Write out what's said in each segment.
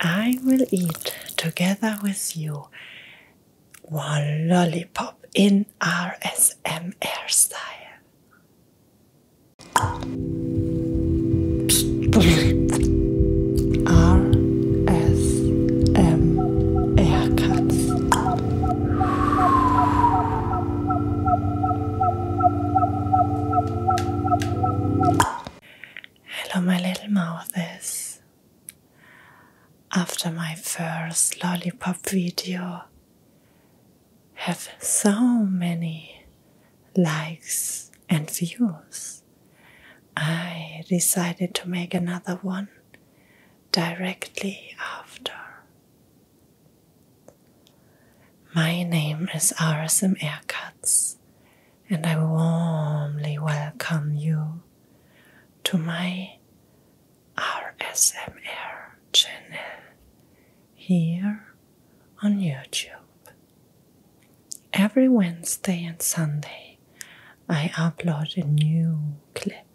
I will eat together with you one lollipop in RSM air style. R S M air cuts. Hello, my little mouthies. After my first lollipop video, have so many likes and views, I decided to make another one directly after. My name is RSM Aircuts, and I warmly welcome you to my RSMR channel here on YouTube. Every Wednesday and Sunday, I upload a new clip.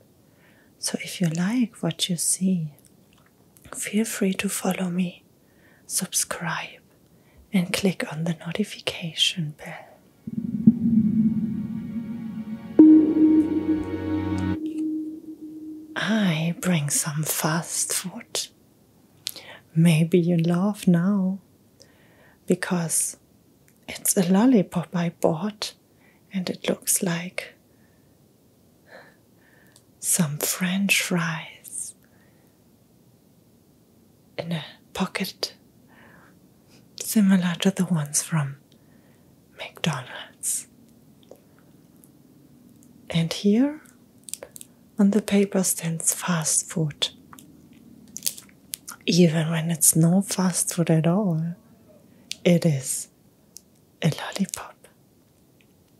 So if you like what you see, feel free to follow me subscribe, and click on the notification bell. I bring some fast food. Maybe you laugh now because it's a lollipop I bought and it looks like some French fries in a pocket similar to the ones from McDonald's. And here on the paper stands fast food, even when it's no fast food at all. It is a lollipop.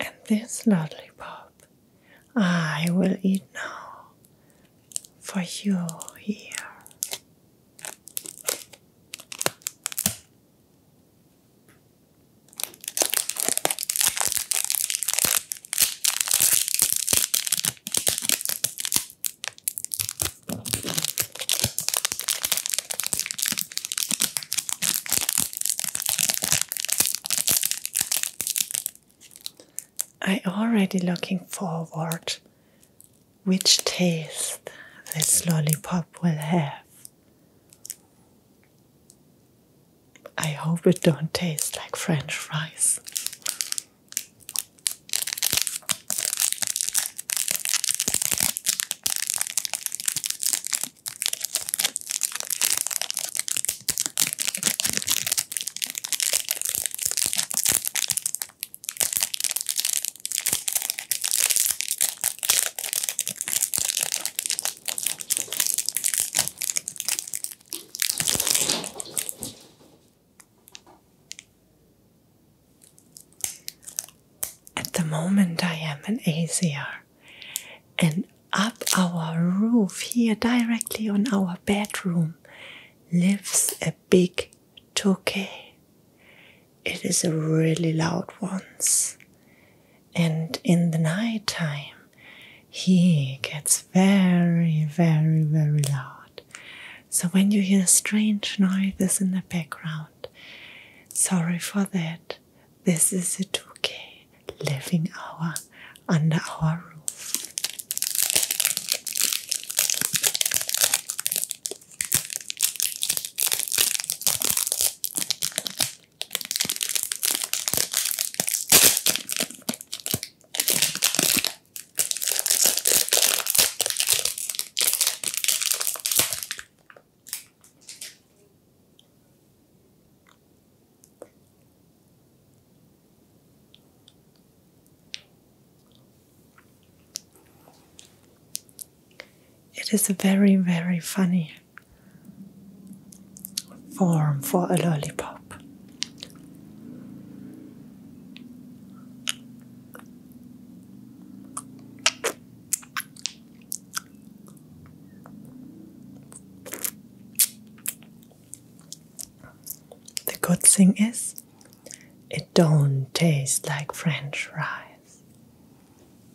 And this lollipop I will eat now for you here. I already looking forward which taste this lollipop will have. I hope it don't taste like French fries. At the moment, I am in Asia, and up our roof here, directly on our bedroom, lives a big touquet. It is a really loud one and in the night time he gets very, very, very loud. So when you hear strange noises in the background, sorry for that. This is a 2K living hour under our roof. It is very, very funny form for a lollipop. The good thing is it don't taste like french fries.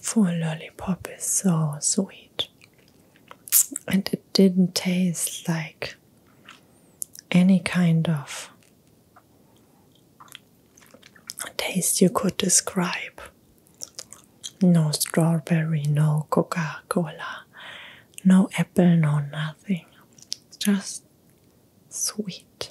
Full lollipop is so sweet, and it didn't taste like any kind of taste you could describe. No strawberry, no Coca Cola, no apple, no nothing. Just sweet.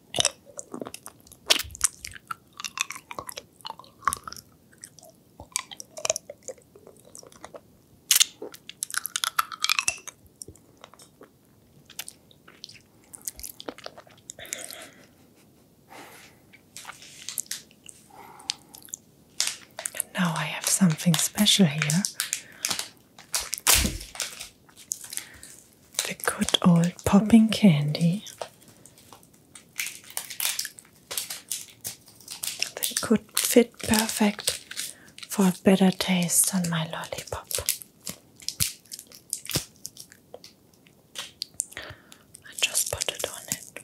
Now I have something special here. The good old popping candy. They could fit perfect for a better taste than my lollipop. I just put it on it.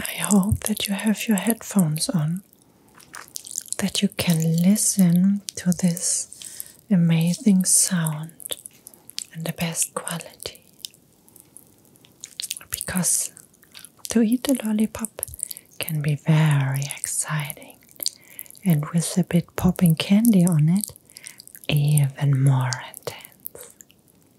I hope that you have your headphones on, that you can listen to this amazing sound and the best quality. Because to eat a lollipop can be very exciting, and with a bit popping candy on it, even more intense.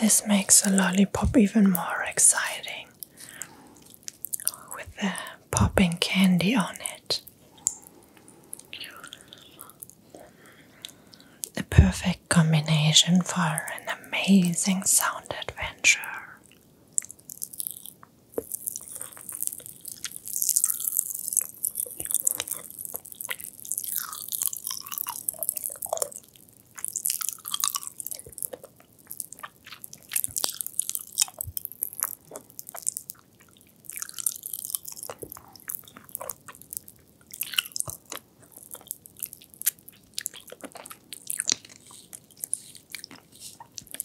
This makes a lollipop even more exciting with the popping candy on it. perfect combination for an amazing sound adventure.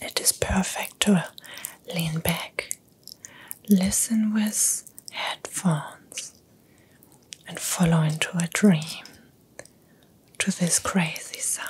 It is perfect to lean back, listen with headphones, and follow into a dream to this crazy sound.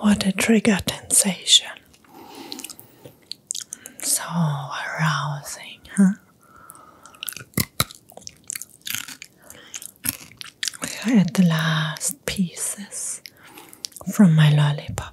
What a trigger sensation. So arousing, huh? I had the last pieces from my lollipop.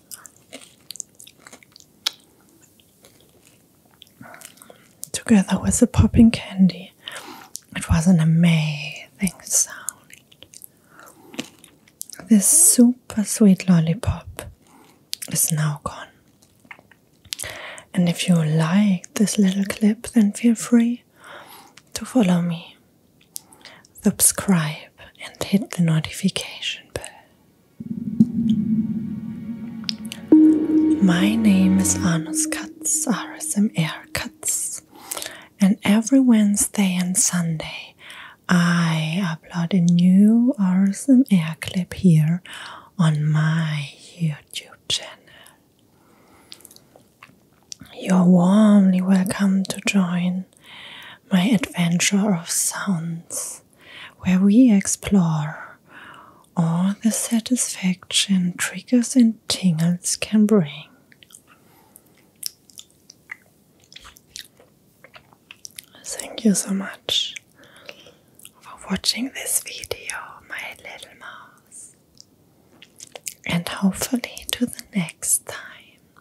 Together with the popping candy, it was an amazing sound. This super sweet lollipop is now gone. And if you like this little clip, then feel free to follow me subscribe and hit the notification bell. My name is Anus Katz, RSMR Katz, and every Wednesday and Sunday I upload a new RSMR clip here on my YouTube channel. You're warmly welcome to join my adventure of sounds, where we explore all the satisfaction triggers and tingles can bring. Thank you so much for watching this video, my little mouse. And hopefully, to the next time.